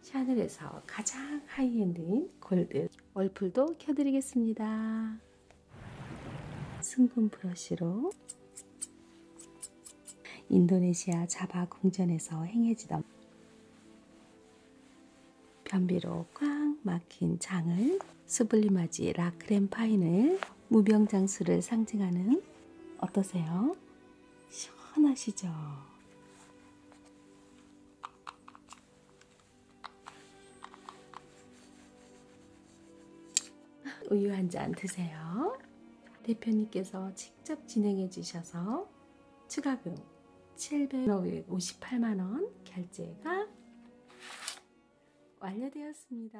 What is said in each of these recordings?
샤넬에서 가장 하이엔드인 골드 월풀도 켜드리겠습니다. 승분 브러쉬로 인도네시아 자바 궁전에서 행해지던 변비로 꽉 막힌 장을 수블리마지 라크렘 파인을 무병장수를 상징하는 어떠세요? 시원하시죠? 우유 한 잔 드세요. 대표님께서 직접 진행해 주셔서 추가금 758만원 결제가 완료되었습니다.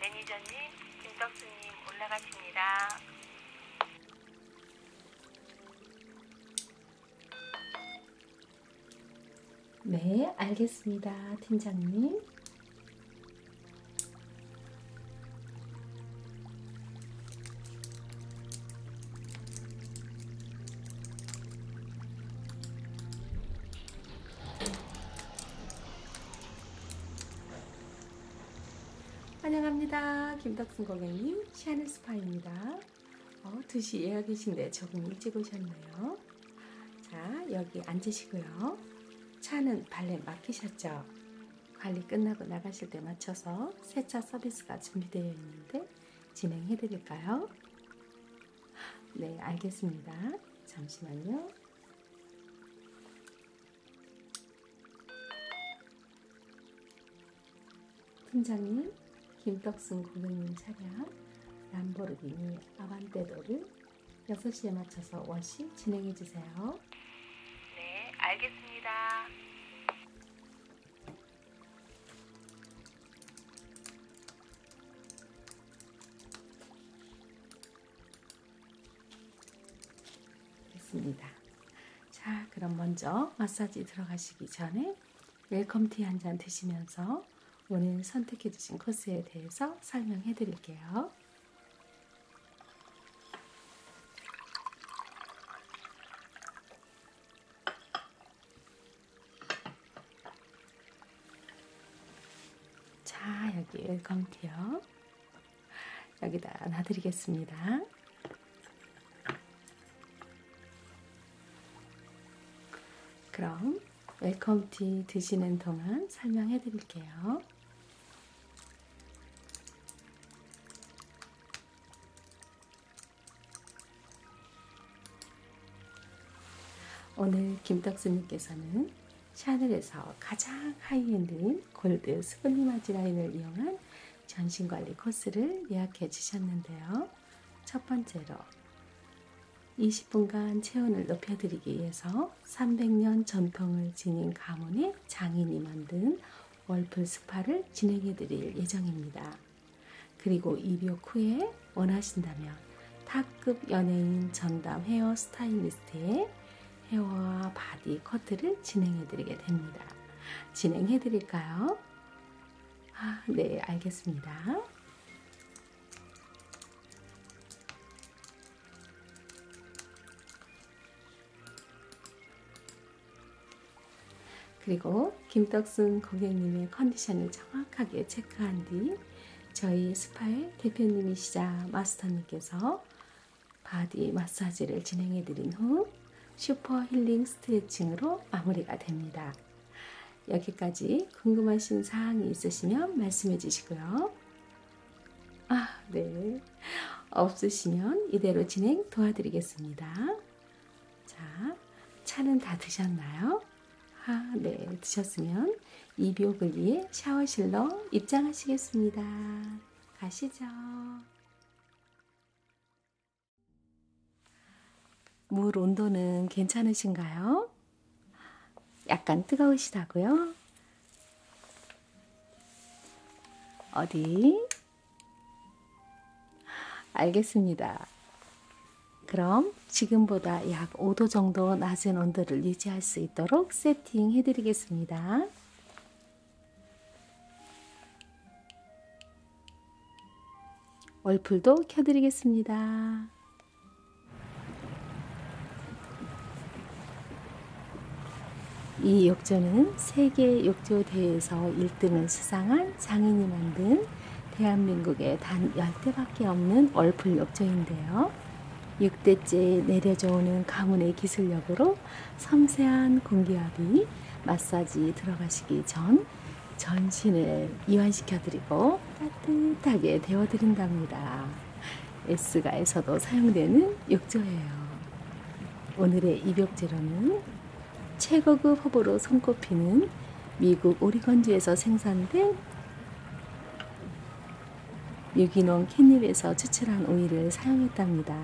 매니저님, 김덕수님 올라가십니다. 네, 알겠습니다. 팀장님. 환영합니다. 김덕순 고객님, 시아는 스파입니다. 어, 2시 예약이신데 조금 일찍 오셨네요. 자, 여기 앉으시고요. 차는 발렌 맡기셨죠? 관리 끝나고 나가실 때 맞춰서 세차 서비스가 준비되어 있는데 진행해 드릴까요? 네, 알겠습니다. 잠시만요. 팀장님, 김떡순 고객님 차량 람보르기니 오늘 아반떼도를 6시에 맞춰서 워시 진행해 주세요. 네, 알겠습니다. 됐습니다. 자, 그럼 먼저 마사지 들어가시기 전에 웰컴티 한잔 드시면서 오늘 선택해주신 코스에 대해서 설명해 드릴게요. 자, 여기 웰컴티요. 여기다 놔드리겠습니다. 그럼 웰컴티 드시는 동안 설명해 드릴게요. 오늘 김덕수님께서는 샤넬에서 가장 하이엔드인 골드 스프니마지 라인을 이용한 전신관리 코스를 예약해 주셨는데요. 첫 번째로 20분간 체온을 높여드리기 위해서 300년 전통을 지닌 가문의 장인이 만든 월풀 스파를 진행해드릴 예정입니다. 그리고 입욕 후에 원하신다면 타급 연예인 전담 헤어 스타일리스트의 헤어와 바디 커트를 진행해드리게 됩니다. 진행해드릴까요? 아, 네, 알겠습니다. 그리고 김떡순 고객님의 컨디션을 정확하게 체크한 뒤 저희 스파의 대표님이시자 마스터님께서 바디 마사지를 진행해 드린 후 슈퍼 힐링 스트레칭으로 마무리가 됩니다. 여기까지 궁금하신 사항이 있으시면 말씀해 주시고요. 아, 네. 없으시면 이대로 진행 도와드리겠습니다. 자, 차는 다 드셨나요? 아, 네. 드셨으면 이비옥을 위해 샤워실로 입장하시겠습니다. 가시죠. 물 온도는 괜찮으신가요? 약간 뜨거우시다고요? 어디? 알겠습니다. 그럼 지금보다 약 5도 정도 낮은 온도를 유지할 수 있도록 세팅해 드리겠습니다. 월풀도 켜드리겠습니다. 이 욕조는 세계 욕조 대회에서 1등을 수상한 장인이 만든 대한민국의 단 10대밖에 없는 얼풀 욕조인데요. 6대째 내려져오는 가문의 기술력으로 섬세한 공기압이 마사지 들어가시기 전 전신을 이완시켜드리고 더 따뜻하게 데워드린답니다. S가에서도 사용되는 욕조예요. 오늘의 입욕 재료는 최고급 허브로 손꼽히는 미국 오리건주에서 생산된 유기농 캣닙에서 추출한 오일을 사용했답니다.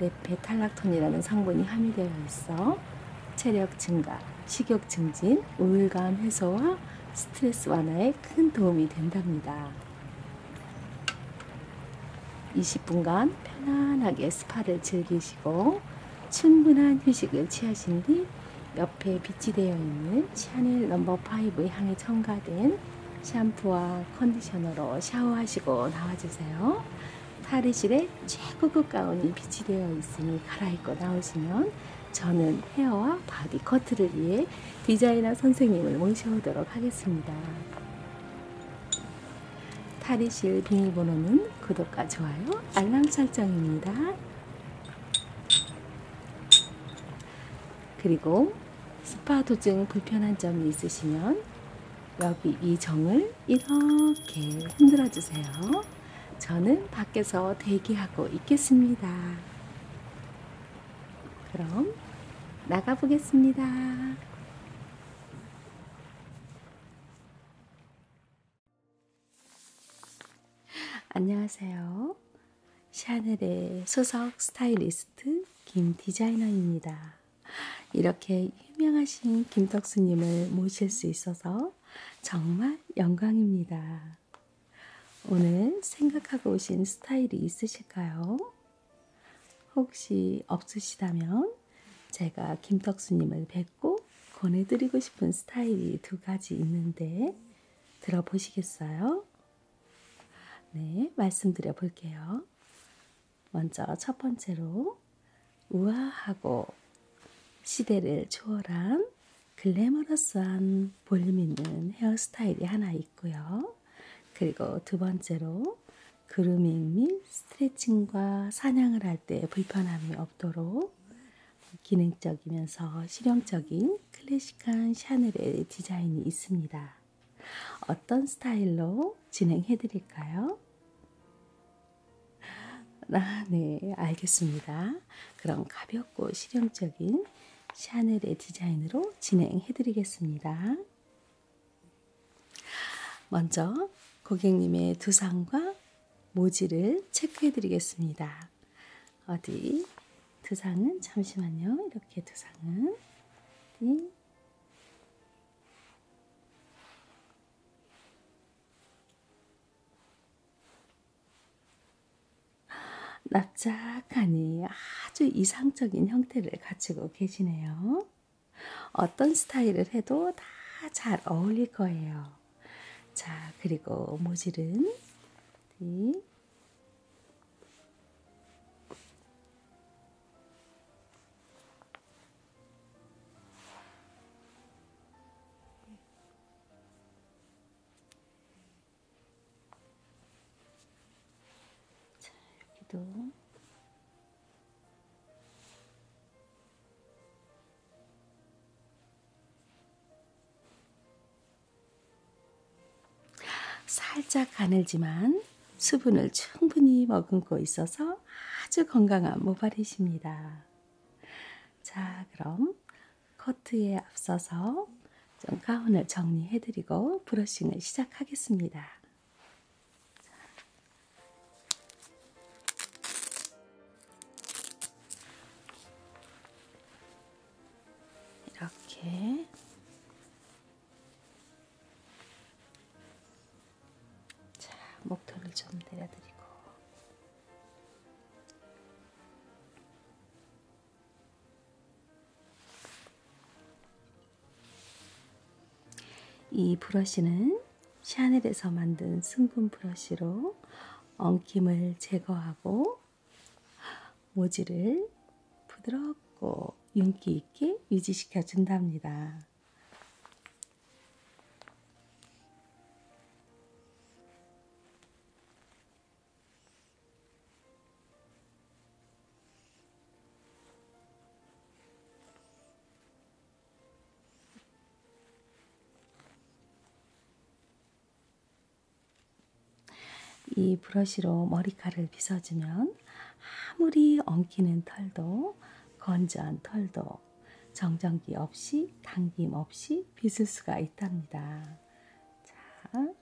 레페탈락톤이라는 성분이 함유되어 있어 체력 증가, 식욕 증진, 우울감 해소와 스트레스 완화에 큰 도움이 된답니다. 20분간 편안하게 스파를 즐기시고 충분한 휴식을 취하신 뒤 옆에 빛이 되어 있는 샤넬 넘버 no. 5 향에 첨가된 샴푸와 컨디셔너로 샤워하시고 나와주세요. 탈의실에 최고급 가운이 빛이 되어 있으니 갈아입고 나오시면 저는 헤어와 바디 커트를 위해 디자이너 선생님을 모셔오도록 하겠습니다. 탈의실 비밀번호는 구독과 좋아요, 알람 설정입니다. 그리고 스파 도중 불편한 점이 있으시면 여기 이 정을 이렇게 흔들어 주세요. 저는 밖에서 대기하고 있겠습니다. 그럼 나가보겠습니다. 안녕하세요. 샤넬의 소속 스타일리스트 김 디자이너입니다. 이렇게 유명하신 김덕수님을 모실 수 있어서 정말 영광입니다. 오늘 생각하고 오신 스타일이 있으실까요? 혹시 없으시다면 제가 김덕수님을 뵙고 권해드리고 싶은 스타일이 두 가지 있는데 들어보시겠어요? 네, 말씀드려 볼게요. 먼저 첫 번째로 우아하고 시대를 초월한 글래머러스한 볼륨 있는 헤어스타일이 하나 있고요. 그리고 두 번째로 그루밍 및 스트레칭과 사냥을 할 때 불편함이 없도록 기능적이면서 실용적인 클래식한 샤넬의 디자인이 있습니다. 어떤 스타일로 진행해 드릴까요? 아, 네, 알겠습니다. 그럼 가벼운 귀엽고 실용적인 샤넬의 디자인으로 진행해드리겠습니다. 먼저 고객님의 두상과 모지를 체크해드리겠습니다. 어디? 두상은 잠시만요. 이렇게 두상은 네. 납작하니 아주 이상적인 형태를 갖추고 계시네요. 어떤 스타일을 해도 다 잘 어울릴 거예요. 자, 그리고 모질은 네. 자, 여기도 살짝 가늘지만 수분을 충분히 머금고 있어서 아주 건강한 모발이십니다. 자, 그럼 커트에 앞서서 좀 가운을 정리해드리고 브러싱을 시작하겠습니다. 이렇게 자, 목도를 좀 내려드리고 이 브러쉬는 샤넬에서 만든 승분 브러쉬로 엉킴을 제거하고 모질을 부드럽고 윤기 있게 유지시켜 준답니다. 이 브러쉬로 머리카락을 빗어주면 아무리 엉키는 털도 건조한 털도 정전기 없이 당김 없이 빗을 수가 있답니다. 자,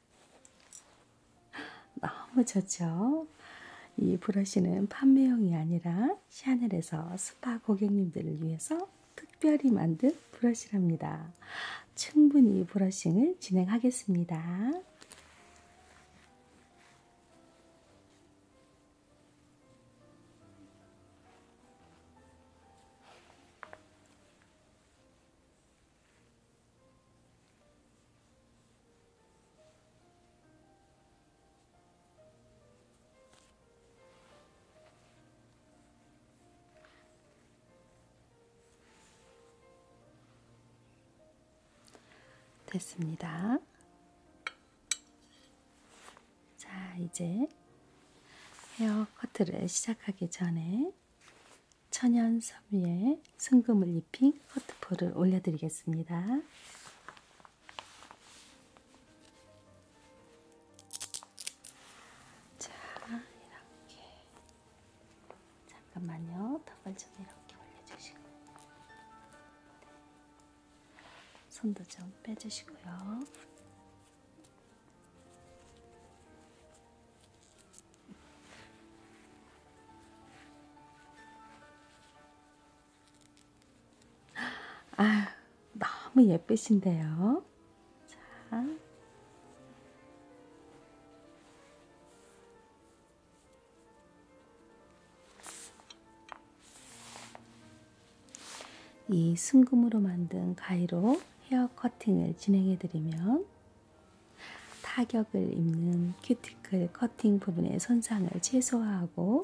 너무 좋죠? 이 브러쉬는 판매용이 아니라 샤넬에서 스파 고객님들을 위해서 특별히 만든 브러쉬랍니다. 충분히 브러싱을 진행하겠습니다. 됐습니다. 자, 이제 헤어 커트를 시작하기 전에 천연 섬유에 순금을 입힌 커트폴을 올려드리겠습니다. 자, 이렇게. 잠깐만요. 턱을 좀 이렇게 올려주시고. 네. 손도 좀 빼주시고요. 아, 너무 예쁘신데요. 자. 이 순금으로 만든 가위로 헤어 커팅을 진행해 드리면 타격을 입는 큐티클 커팅 부분의 손상을 최소화하고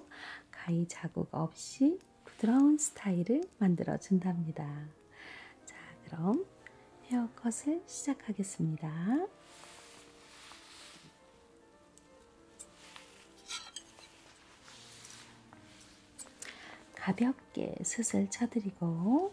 가위 자국 없이 부드러운 스타일을 만들어 준답니다. 자, 그럼 헤어컷을 시작하겠습니다. 가볍게 숱을 쳐드리고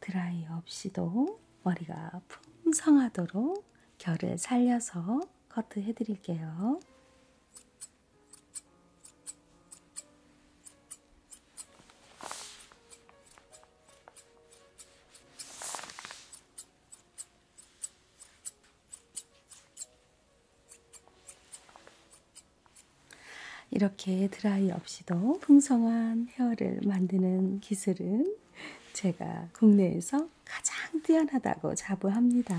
드라이 없이도 머리가 풍성하도록 결을 살려서 커트해 드릴게요. 이렇게 드라이 없이도 풍성한 헤어를 만드는 기술은 제가 국내에서 가장 뛰어나다고 자부합니다.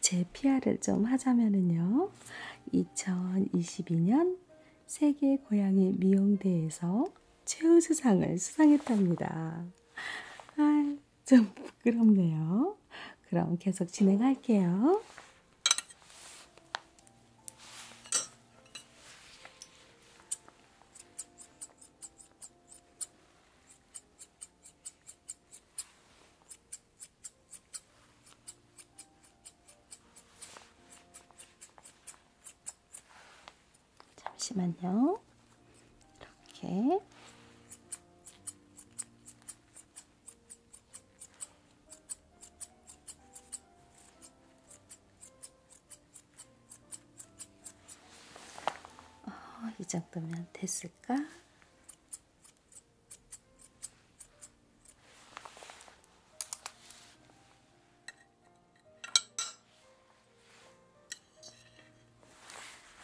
제 PR을 좀 하자면은요, 2022년 세계 고양이 미용대에서 최우수상을 수상했답니다. 아, 좀 부끄럽네요. 그럼 계속 진행할게요. 잠시만요. 이렇게 어, 이 정도면 됐습니다. 있을까?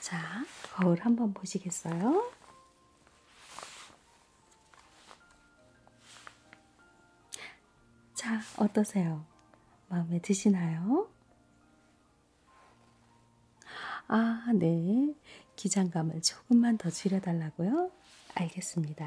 자, 거울 한번 보시겠어요? 자, 어떠세요? 마음에 드시나요? 아, 네. 기장감을 조금만 더 줄여달라고요? 알겠습니다.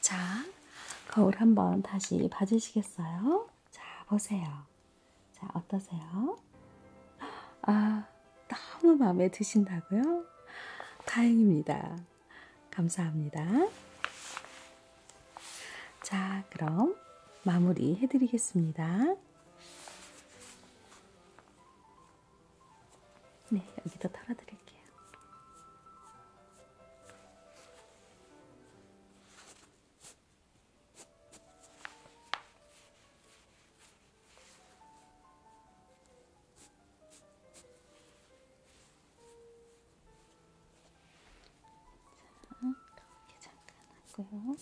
자, 거울 한번 다시 봐주시겠어요? 자, 보세요. 자, 어떠세요? 아, 너무 마음에 드신다고요? 다행입니다. 감사합니다. 자, 그럼 마무리 해드리겠습니다. 네, 여기도 털어드릴게요. 이렇게 잠깐 하고요.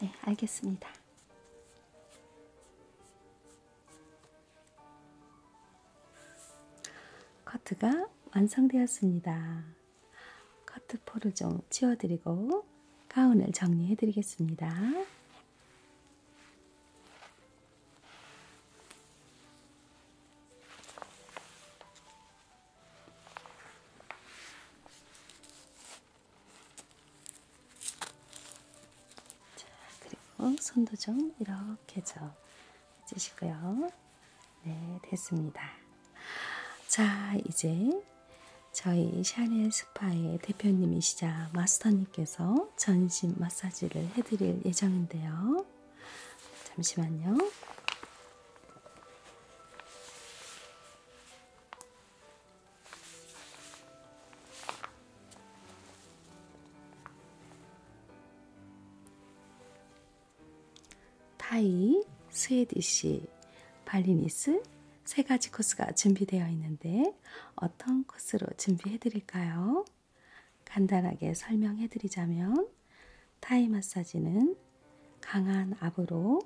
네, 알겠습니다. 커트가 완성되었습니다. 커트 포를 좀 치워드리고 가운을 정리해드리겠습니다. 자, 그리고 손도 좀 이렇게 좀 해주시고요. 네, 됐습니다. 자, 이제 저희 샤넬 스파의 대표님이시자 마스터님께서 전신 마사지를 해드릴 예정인데요. 잠시만요. 타이, 스웨디시, 발리니스 세 가지 코스가 준비되어 있는데 어떤 코스로 준비해 드릴까요? 간단하게 설명해 드리자면 타이 마사지는 강한 압으로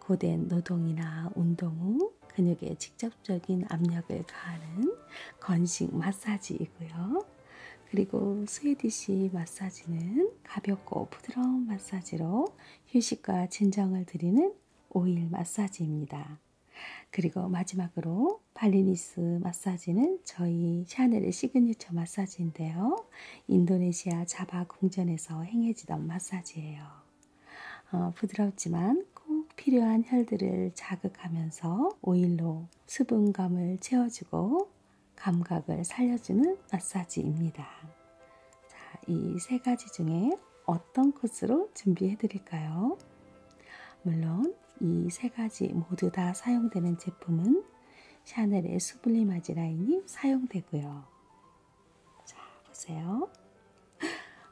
고된 노동이나 운동 후 근육에 직접적인 압력을 가하는 건식 마사지이고요. 그리고 스웨디시 마사지는 가볍고 부드러운 마사지로 휴식과 진정을 드리는 오일 마사지입니다. 그리고 마지막으로 발리니스 마사지는 저희 샤넬의 시그니처 마사지인데요. 인도네시아 자바 바 궁전에서 행해지던 마사지예요. 어, 부드럽지만 꼭 필요한 혈들을 자극하면서 오일로 수분감을 채워주고 감각을 살려주는 마사지입니다. 자, 이 세 가지 중에 어떤 코스로 준비해 드릴까요? 물론 이 세 가지 모두 다 사용되는 제품은 샤넬의 수블리마지 라인이 사용되고요. 자, 보세요.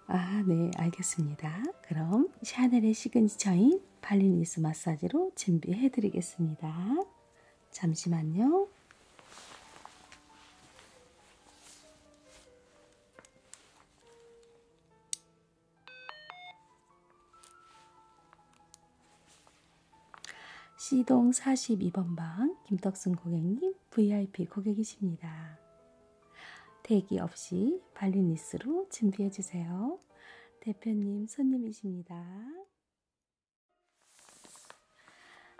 아, 네, 알겠습니다. 그럼 샤넬의 시그니처인 발리니스 마사지로 준비해 드리겠습니다. 잠시만요. C동 42번 방 김덕순 고객님 VIP 고객이십니다. 대기 없이 발리니스로 준비해주세요. 대표님 손님이십니다.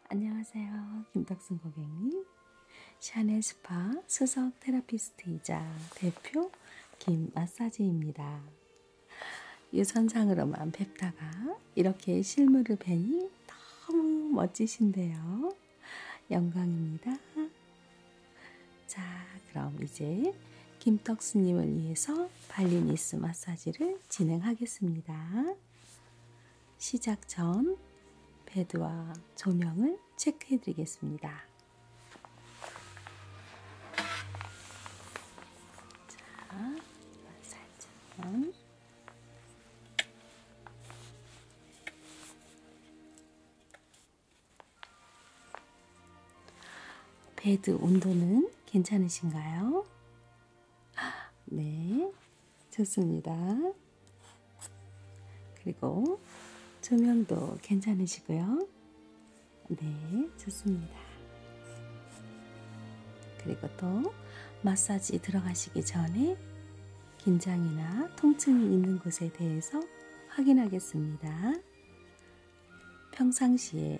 안녕하세요. 김덕순 고객님. 샤넬 스파 수석 테라피스트이자 대표 김 마사지입니다. 유선상으로만 뵙다가 이렇게 실물을 뵈니 너무 멋지신데요. 영광입니다. 자, 그럼 이제 김떡스님을 위해서 발리니스 마사지를 진행하겠습니다. 시작 전 베드와 조명을 체크해 드리겠습니다. 자, 살짝. 베드 온도는 괜찮으신가요? 네, 좋습니다. 그리고 조명도 괜찮으시고요. 네, 좋습니다. 그리고 또 마사지 들어가시기 전에 긴장이나 통증이 있는 곳에 대해서 확인하겠습니다. 평상시에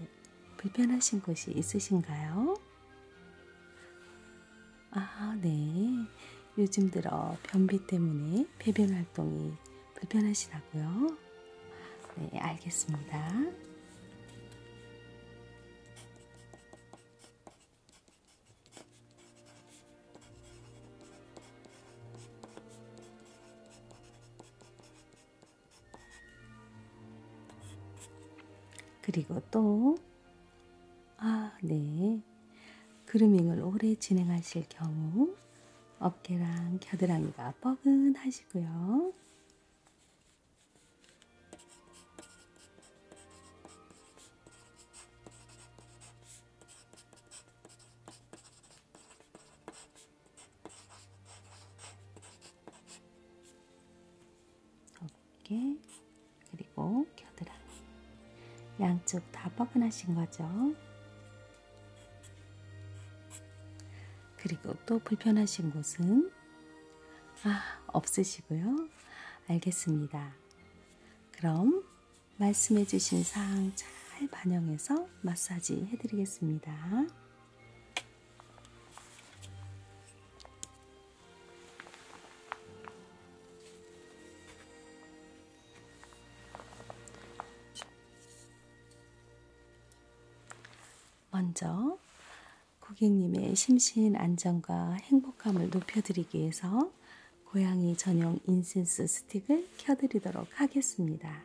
불편하신 곳이 있으신가요? 아, 네. 요즘 들어 변비 때문에 배변 활동이 불편하시다고요? 네, 알겠습니다. 그리고 또, 아, 네. 그루밍을 오래 진행하실 경우 어깨랑 겨드랑이가 뻐근하시고요. 어깨 그리고 겨드랑이 양쪽 다 뻐근하신 거죠. 그리고 또 불편하신 곳은 아 없으시고요. 알겠습니다. 그럼 말씀해 주신 사항 잘 반영해서 마사지 해드리겠습니다. 먼저 고객님의 심신 안정과 행복함을 높여드리기 위해서 고양이 전용 인센스 스틱을 켜드리도록 하겠습니다.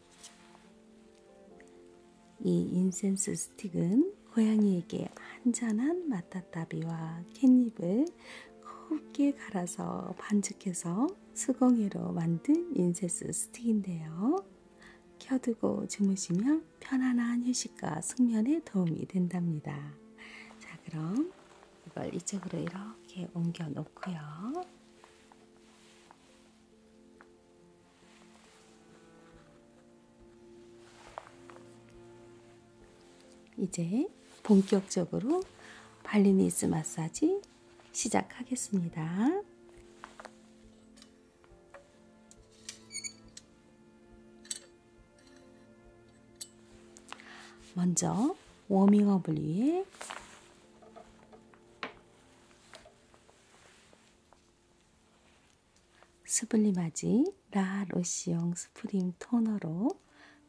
이 인센스 스틱은 고양이에게 한잔한 마타타비와 캣닙을 곱게 갈아서 반죽해서 수공예로 만든 인센스 스틱인데요. 켜두고 주무시면 편안한 휴식과 숙면에 도움이 된답니다. 자, 그럼 이걸 이쪽으로 이렇게 옮겨 놓고요. 이제 본격적으로 발리니스 마사지 시작하겠습니다. 먼저 워밍업을 위해 수블림하지 라 로시용 스프림 토너로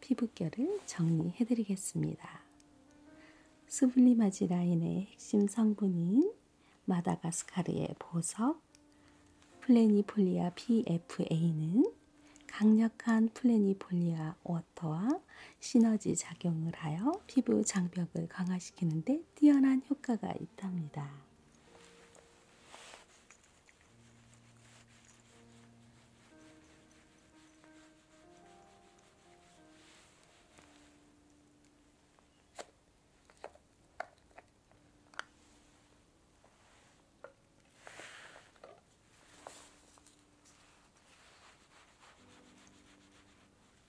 피부결을 정리해드리겠습니다. 수블림하지 라인의 핵심 성분인 마다가스카르의 보석 플래니폴리아 PFA는 강력한 플래니폴리아 워터와 시너지 작용을 하여 피부 장벽을 강화시키는 데 뛰어난 효과가 있답니다.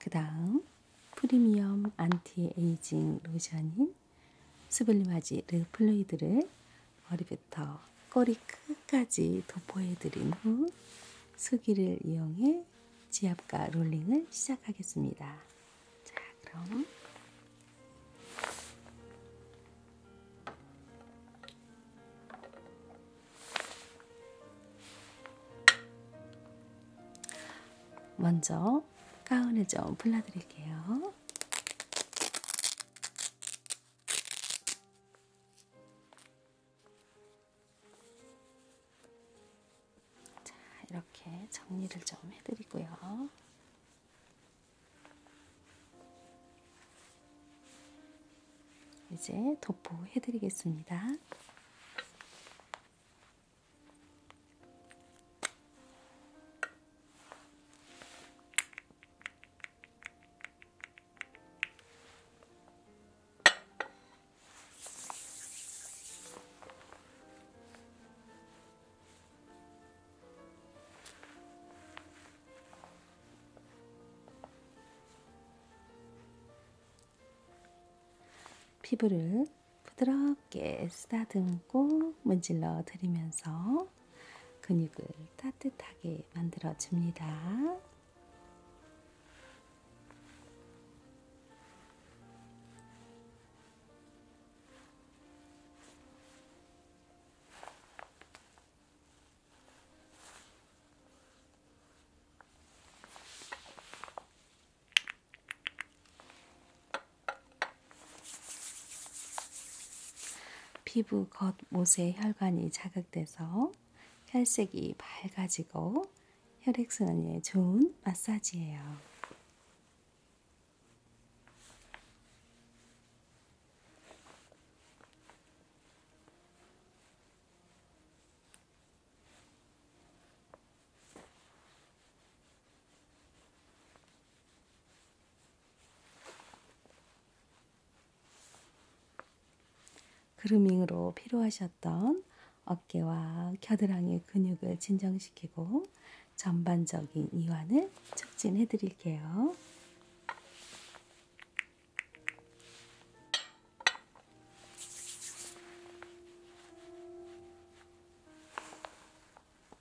그 다음 프리미엄 안티에이징 로션인 수블림하지 르플레이드를 머리부터 꼬리 끝까지 도포해드린 후 수기를 이용해 지압과 롤링을 시작하겠습니다. 자, 그럼 먼저 가운을 좀 풀러드릴게요. 있고요. 자, 이렇게 정리를 좀 해드리고요. 이제 도포해 드리겠습니다. 피부를 부드럽게 쓰다듬고 문질러 드리면서 근육을 따뜻하게 만들어줍니다. 피부 겉모세 혈관이 자극돼서 혈색이 밝아지고 혈액순환에 좋은 마사지예요. 그루밍으로 필요하셨던 어깨와 겨드랑이 근육을 진정시키고 전반적인 이완을 촉진해 드릴게요.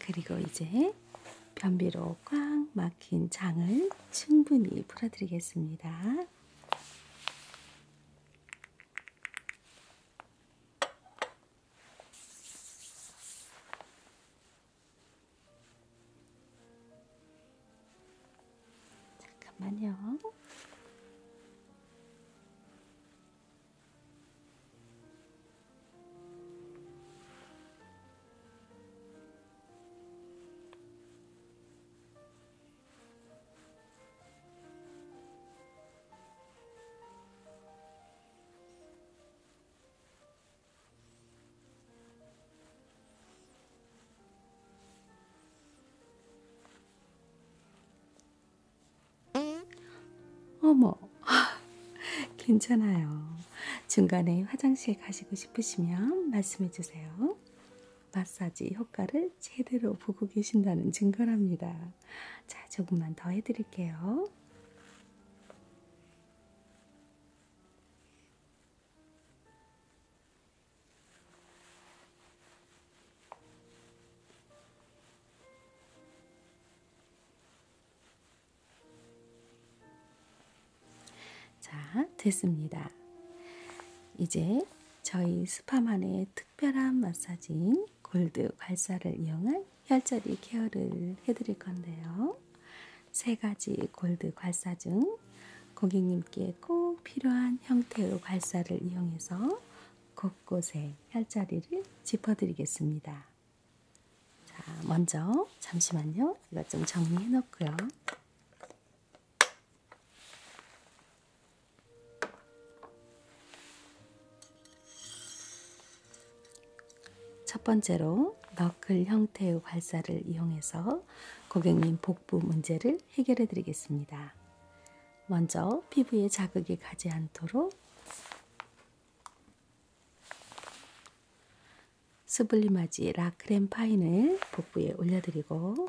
그리고 이제 변비로 꽉 막힌 장을 충분히 풀어드리겠습니다. 잠깐만요. 어머, 괜찮아요. 중간에 화장실 가시고 싶으시면 말씀해 주세요. 마사지 효과를 제대로 보고 계신다는 증거랍니다. 자, 조금만 더 해드릴게요. 자, 됐습니다. 이제 저희 스파만의 특별한 마사지인 골드 발사를 이용한 혈자리 케어를 해드릴 건데요. 세 가지 골드 괄사 중 고객님께 꼭 필요한 형태의 괄사를 이용해서 곳곳에 혈자리를 짚어드리겠습니다. 자, 먼저 잠시만요. 이것 좀 정리해 놓고요. 첫 번째로 너클 형태의 괄사를 이용해서 고객님 복부 문제를 해결해 드리겠습니다. 먼저 피부에 자극이 가지 않도록 스블리마지 라크렘 파인을 복부에 올려드리고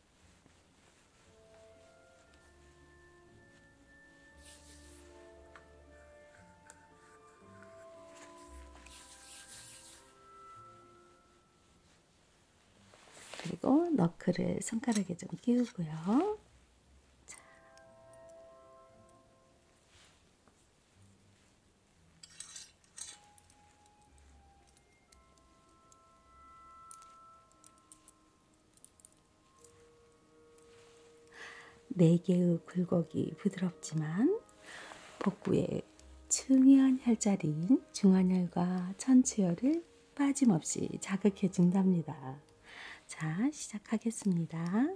그리고 너클을 손가락에 좀 끼우고요. 자. 네 개의 굴곡이 부드럽지만 복부에 중요한 혈자리인 중환혈과 천추혈을 빠짐없이 자극해 준답니다. 자, 시작하겠습니다.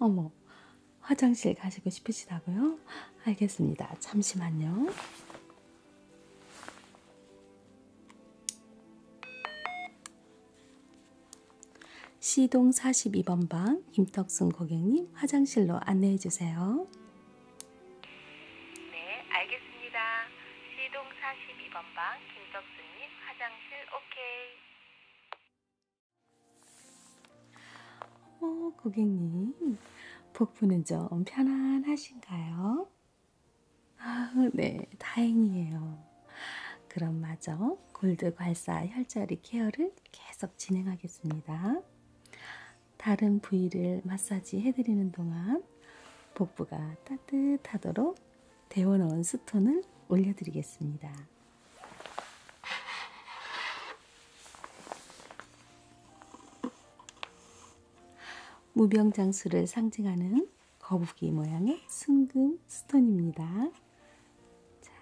어머, 화장실 가시고 싶으시다고요? 알겠습니다. 잠시만요. C동 42번 방 김덕순 고객님 화장실로 안내해 주세요. 네, 알겠습니다. C동 42번 방 김덕순님 화장실 오케이. 어, 고객님, 복부는 좀 편안하신가요? 아, 네, 다행이에요. 그럼 마저 골드 괄사 혈자리 케어를 계속 진행하겠습니다. 다른 부위를 마사지 해드리는 동안 복부가 따뜻하도록 데워놓은 스톤을 올려드리겠습니다. 무병장수를 상징하는 거북이 모양의 순금 스톤입니다. 자,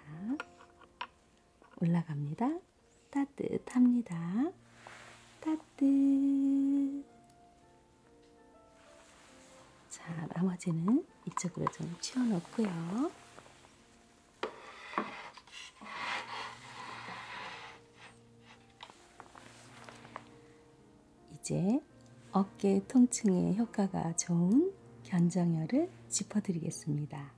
올라갑니다. 따뜻합니다. 따뜻. 자, 나머지는 이쪽으로 좀 치워놓고요. 이제 어깨 통증에 효과가 좋은 견정혈을 짚어드리겠습니다.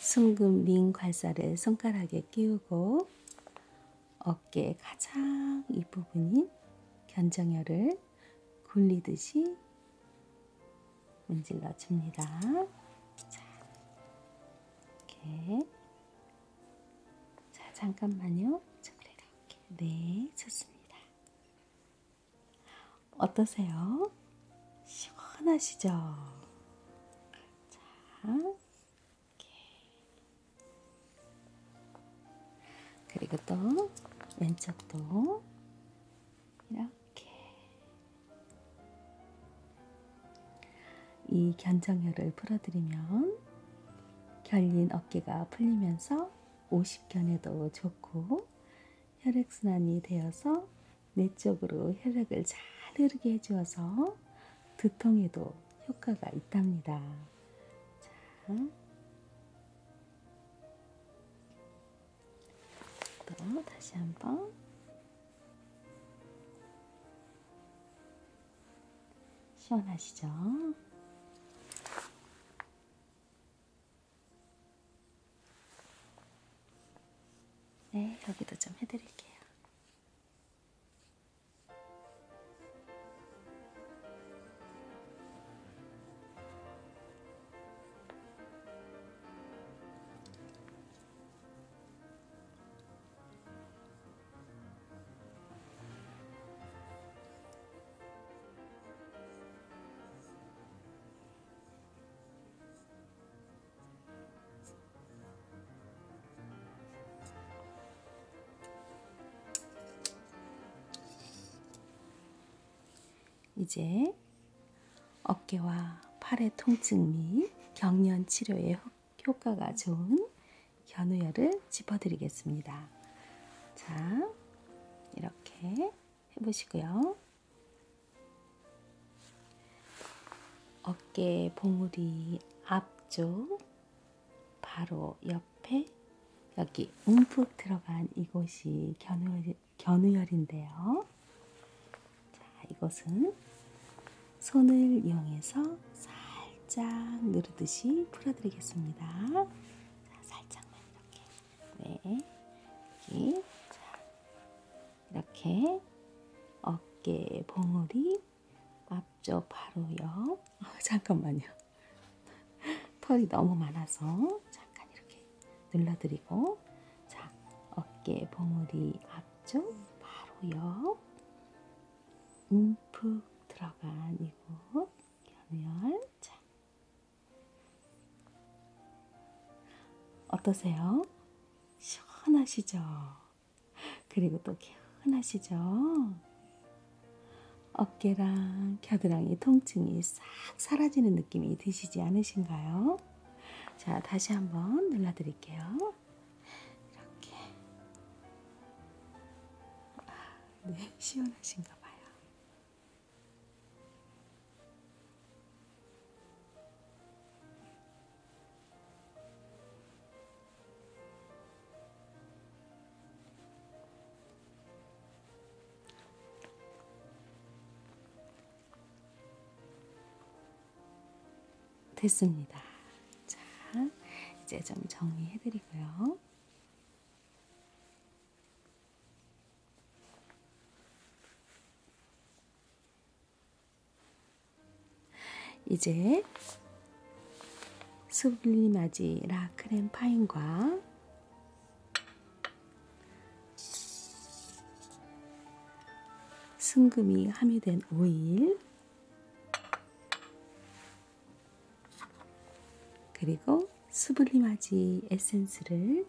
숭금 링 괄사를 손가락에 끼우고 어깨 가장 윗부분인 견정혈을 굴리듯이 문질러 줍니다. 자, 이렇게 자, 잠깐만요. 저 그래 갈게. 네, 좋습니다. 어떠세요? 시원하시죠? 자, 이렇게. 그리고 또 왼쪽도 이렇게. 이 견정혈을 풀어드리면 결린 어깨가 풀리면서 오십견에도 좋고 혈액순환이 되어서 뇌 쪽으로 혈액을 잘 흐르게 해주어서 두통에도 효과가 있답니다. 자, 또 다시 한번 시원하시죠? 네, 여기도 좀 해드릴게요. 이제 어깨와 팔의 통증 및 경련 치료에 효과가 좋은 견우열을 짚어드리겠습니다. 자, 이렇게 해보시고요. 어깨 봉우리 앞쪽, 바로 옆에 여기 움푹 들어간 이곳이 견우열, 견우열인데요. 자, 이곳은 손을 이용해서 살짝 누르듯이 풀어드리겠습니다. 자, 살짝만 이렇게. 네. 여기. 자, 이렇게 어깨 봉우리 앞쪽 바로 옆. 어, 잠깐만요. 털이 너무 많아서 잠깐 이렇게 눌러드리고 자 어깨 봉우리 앞쪽 바로 옆 움푹 들어간 이곳 겸열 자 어떠세요? 시원하시죠? 그리고 또 개운하시죠? 어깨랑 겨드랑이 통증이 싹 사라지는 느낌이 드시지 않으신가요? 자, 다시 한번 눌러드릴게요. 이렇게 아, 네 시원하신가 봐요. 네, 됐습니다. 자, 이제 좀 정리해드리고요. 이제 수블리마지 라크렘 파인과 순금이 함유된 오일 그리고 수블리마지 에센스를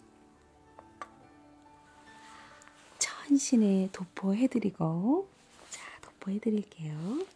천신에 도포해드리고 자 도포해드릴게요.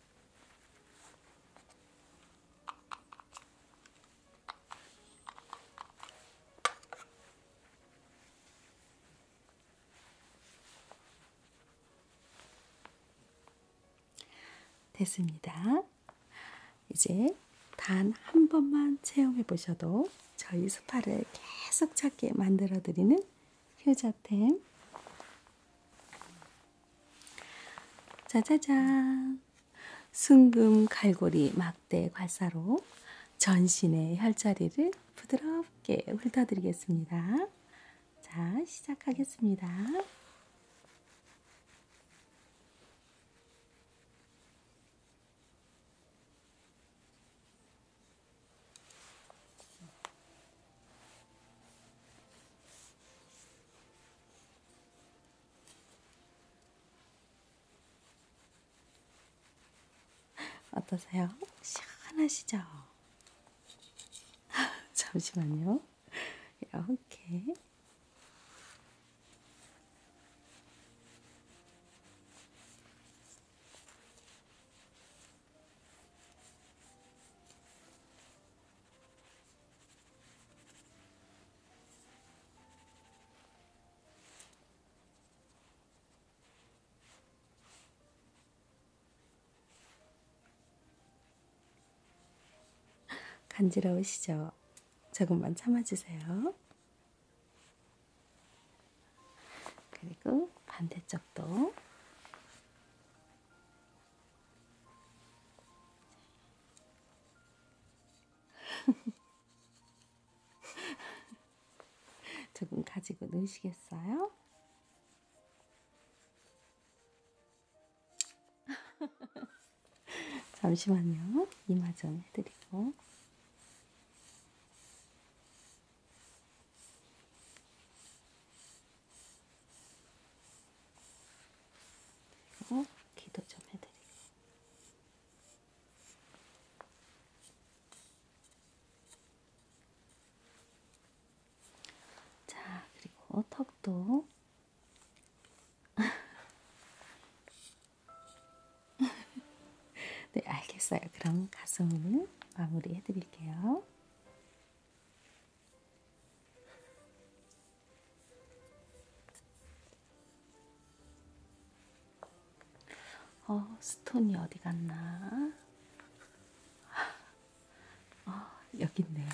됐습니다. 이제 단 한 번만 체험해 보셔도 저희 스파를 계속 찾게 만들어 드리는 효자템. 짜자잔! 순금 갈고리 막대 괄사로 전신의 혈자리를 부드럽게 훑어드리겠습니다. 자, 시작하겠습니다. 어떠세요? 시원하시죠? 잠시만요. 이렇게. 간지러우시죠? 조금만 참아주세요. 그리고 반대쪽도 조금 가지고 노시겠어요? 잠시만요. 이마 전 해드리고. 그리고 기도 좀 해드리고. 자, 그리고 턱도. 네, 알겠어요. 그럼 가슴을 마무리 해드릴게요. 어, 스톤이 어디 갔나? 어, 여기 있네요.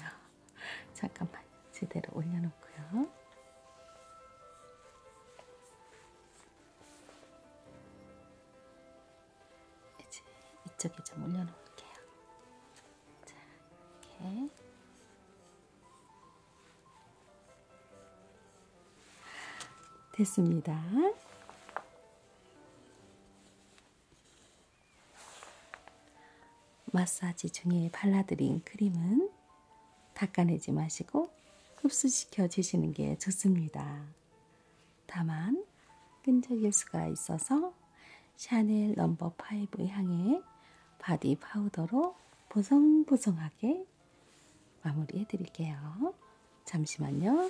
잠깐만, 제대로 올려놓고요. 이제 이쪽에 좀 올려놓을게요. 자, 이렇게. 됐습니다. 마사지 중에 발라드린 크림은 닦아내지 마시고 흡수시켜 주시는 게 좋습니다. 다만 끈적일 수가 있어서 샤넬 넘버 5 향의 바디 파우더로 보송보송하게 마무리해 드릴게요. 잠시만요.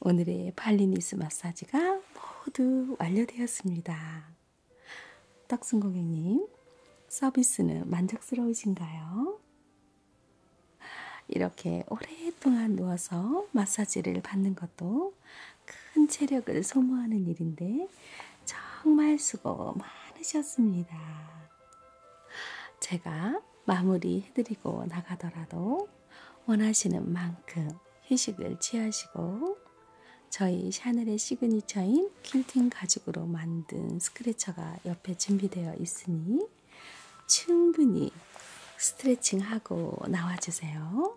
오늘의 발리니스 마사지가 모두 완료되었습니다. 떡순 고객님, 서비스는 만족스러우신가요? 이렇게 오랫동안 누워서 마사지를 받는 것도 큰 체력을 소모하는 일인데 정말 수고 많으셨습니다. 제가 마무리해드리고 나가더라도 원하시는 만큼 휴식을 취하시고 저희 샤넬의 시그니처인 킨팅 가죽으로 만든 스크래처가 옆에 준비되어 있으니 충분히 스트레칭하고 나와주세요.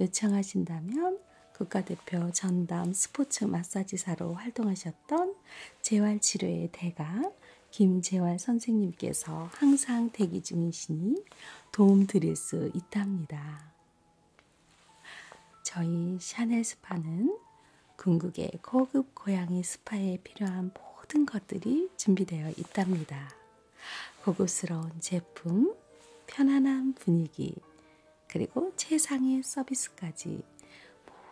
요청하신다면 국가대표 전담 스포츠 마사지사로 활동하셨던 재활치료의 대가 김재환 선생님께서 항상 대기 중이시니 도움 드릴 수 있답니다. 저희 샤넬 스파는 궁극의 고급 고양이 스파에 필요한 모든 것들이 준비되어 있답니다. 고급스러운 제품, 편안한 분위기, 그리고 최상의 서비스까지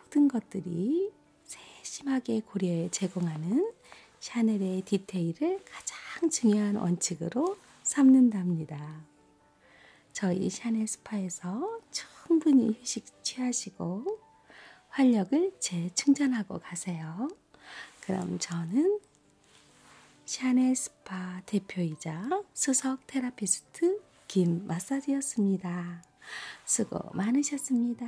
모든 것들이 세심하게 고려해 제공하는 샤넬의 디테일을 가장 중요한 원칙으로 삼는답니다. 저희 샤넬 스파에서 충분히 휴식 취하시고 활력을 재충전하고 가세요. 그럼 저는 샤넬 스파 대표이자 수석 테라피스트 김 마사지였습니다. 수고 많으셨습니다.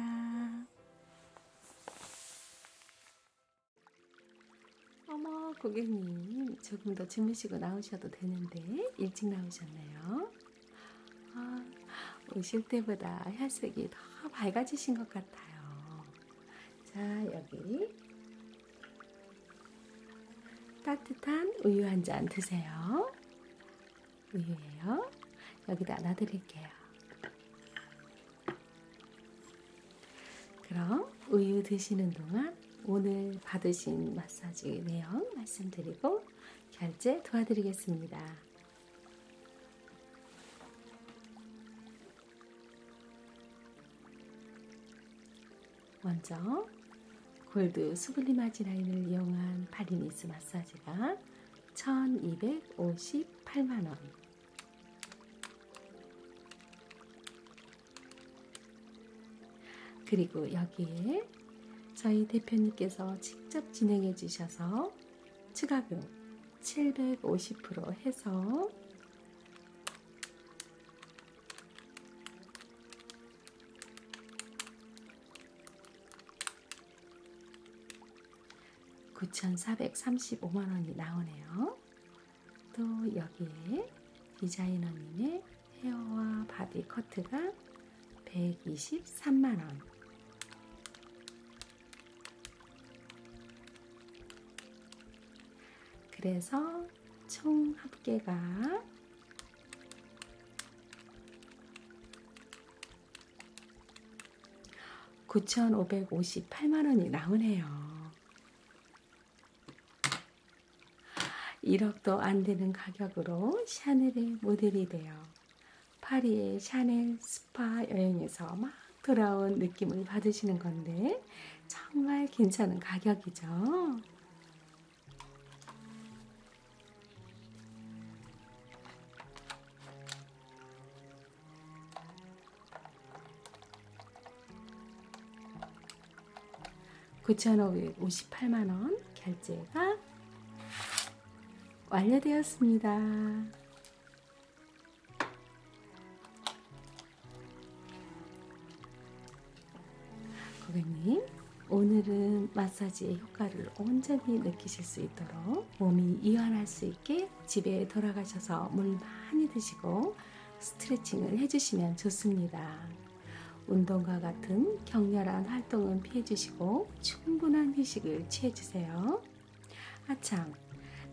어머, 고객님. 조금 더 주무시고 나오셔도 되는데, 일찍 나오셨네요. 아, 오실 때보다 혈색이 더 밝아지신 것 같아요. 자, 여기. 따뜻한 우유 한 잔 드세요. 우유예요. 여기다 놔드릴게요. 그럼 우유 드시는 동안 오늘 받으신 마사지 내용 말씀드리고 결제 도와드리겠습니다. 먼저 골드 수블리마지 라인을 이용한 파리니스 마사지가 1258만원. 그리고 여기에 저희 대표님께서 직접 진행해 주셔서 추가금 750% 해서 1 9,435만원이 나오네요. 또 여기에 디자이너님의 헤어와 바디 커트가 123만원. 그래서 총 합계가 9,558만원이 나오네요. 1억도 안 되는 가격으로 샤넬의 모델이 돼요. 파리의 샤넬 스파 여행에서 막 돌아온 느낌을 받으시는 건데, 정말 괜찮은 가격이죠. 9,558만원 결제가 완료되었습니다. 고객님, 오늘은 마사지의 효과를 온전히 느끼실 수 있도록 드시고 몸이 이완할 수 있게 집에 돌아가셔서 물 많이 드시고 스트레칭을 해주시면 좋습니다. 운동과 같은 격렬한 활동은 피해주시고 충분한 휴식을 취해주세요. 아참,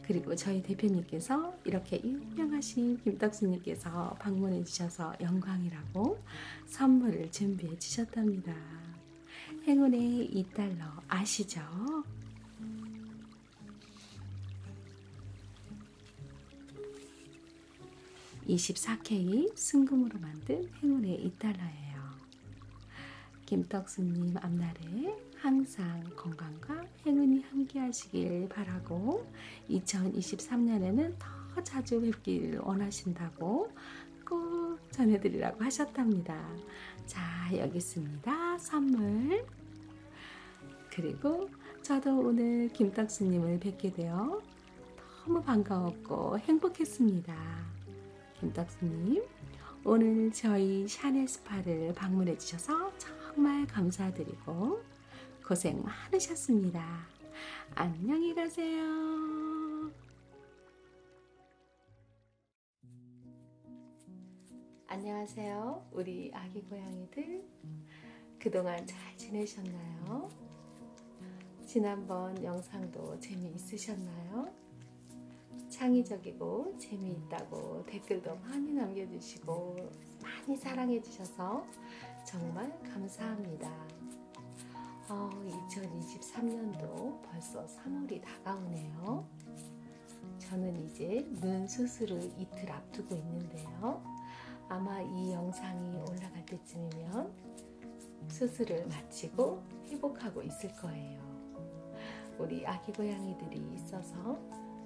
그리고 저희 대표님께서 이렇게 유명하신 김덕수님께서 방문해 주셔서 영광이라고 선물을 준비해 주셨답니다. 행운의 2달러 아시죠? (24K) 순금으로 만든 행운의 2달러예요 김떡수님 앞날에 항상 건강과 행운이 함께하시길 바라고 2023년에는 더 자주 뵙길 원하신다고 꼭 전해드리라고 하셨답니다. 자, 여기 있습니다. 선물. 그리고 저도 오늘 김떡수님을 뵙게 되어 너무 반가웠고 행복했습니다. 김떡수님, 오늘 저희 샤넬 스파를 방문해 주셔서 정말 감사드리고 고생 많으셨습니다. 안녕히 가세요. 안녕하세요. 우리 아기 고양이들. 그동안 잘 지내셨나요? 지난번 영상도 재미있으셨나요? 창의적이고 재미있다고 댓글도 많이 남겨주시고 많이 사랑해주셔서 정말 감사합니다. 어, 2023년도 벌써 3월이 다가오네요. 저는 이제 눈 수술을 이틀 앞두고 있는데요. 아마 이 영상이 올라갈 때쯤이면 수술을 마치고 회복하고 있을 거예요. 우리 아기 고양이들이 있어서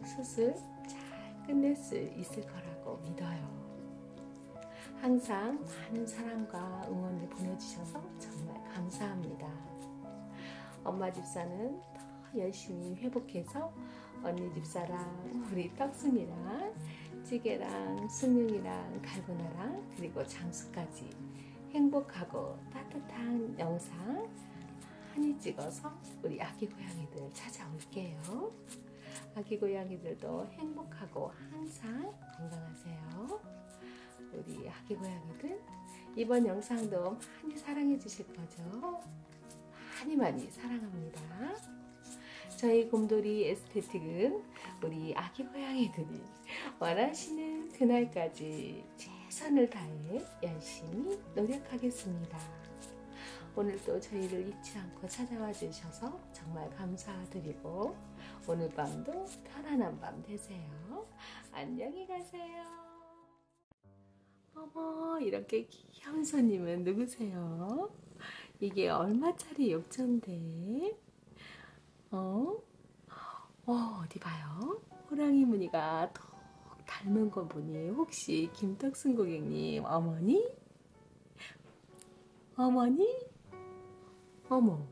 수술 잘 끝낼 수 있을 거라고 믿어요. 항상 많은 사랑과 응원을 보내주셔서 정말 감사합니다. 엄마 집사는 더 열심히 회복해서 언니 집사랑 우리 떡순이랑 찌개랑 숭늉이랑 갈고나랑 그리고 장수까지 행복하고 따뜻한 영상 많이 찍어서 우리 아기 고양이들 찾아올게요. 아기 고양이들도 행복하고 항상 건강하세요. 우리 아기 고양이들 이번 영상도 많이 사랑해 주실 거죠? 많이 많이 사랑합니다. 저희 곰돌이 에스테틱은 우리 아기 고양이들이 원하시는 그날까지 최선을 다해 열심히 노력하겠습니다. 오늘도 저희를 잊지 않고 찾아와 주셔서 정말 감사드리고 오늘 밤도 편안한 밤 되세요. 안녕히 가세요. 어머 이렇게 귀여운 손님은 누구세요? 이게 얼마짜리 욕조인데? 어? 어 어디 봐요? 호랑이 무늬가 톡 닮은 거 보니 혹시 김덕순 고객님 어머니? 어머니? 어머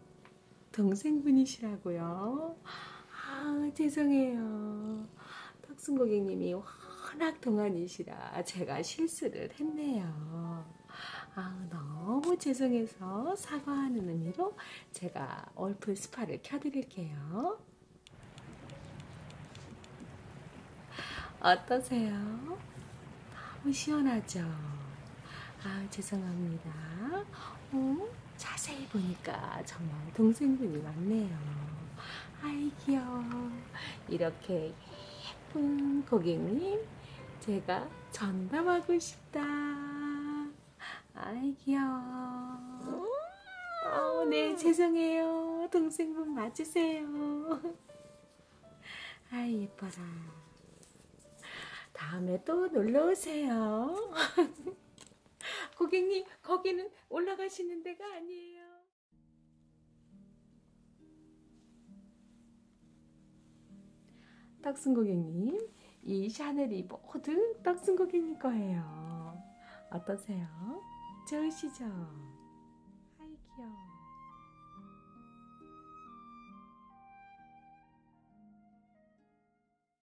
동생분이시라고요? 아, 죄송해요. 탁순 고객님이 워낙 동안이시라 제가 실수를 했네요. 아, 너무 죄송해서 사과하는 의미로 제가 얼풀 스파를 켜드릴게요. 어떠세요? 너무 시원하죠? 아, 죄송합니다. 어? 자세히 보니까 정말 동생분이 맞네요. 아이 귀여워. 이렇게 예쁜 고객님 제가 전담하고 싶다. 아이 귀여워. 어, 네 죄송해요. 동생분 맞으세요. 아이 예뻐라. 다음에 또 놀러오세요. 고객님, 거기는 올라가시는 데가 아니에요. 떡순 고객님, 이 샤넬이 모두 떡순 고객님 거예요. 어떠세요? 좋으시죠? 아이 귀여워.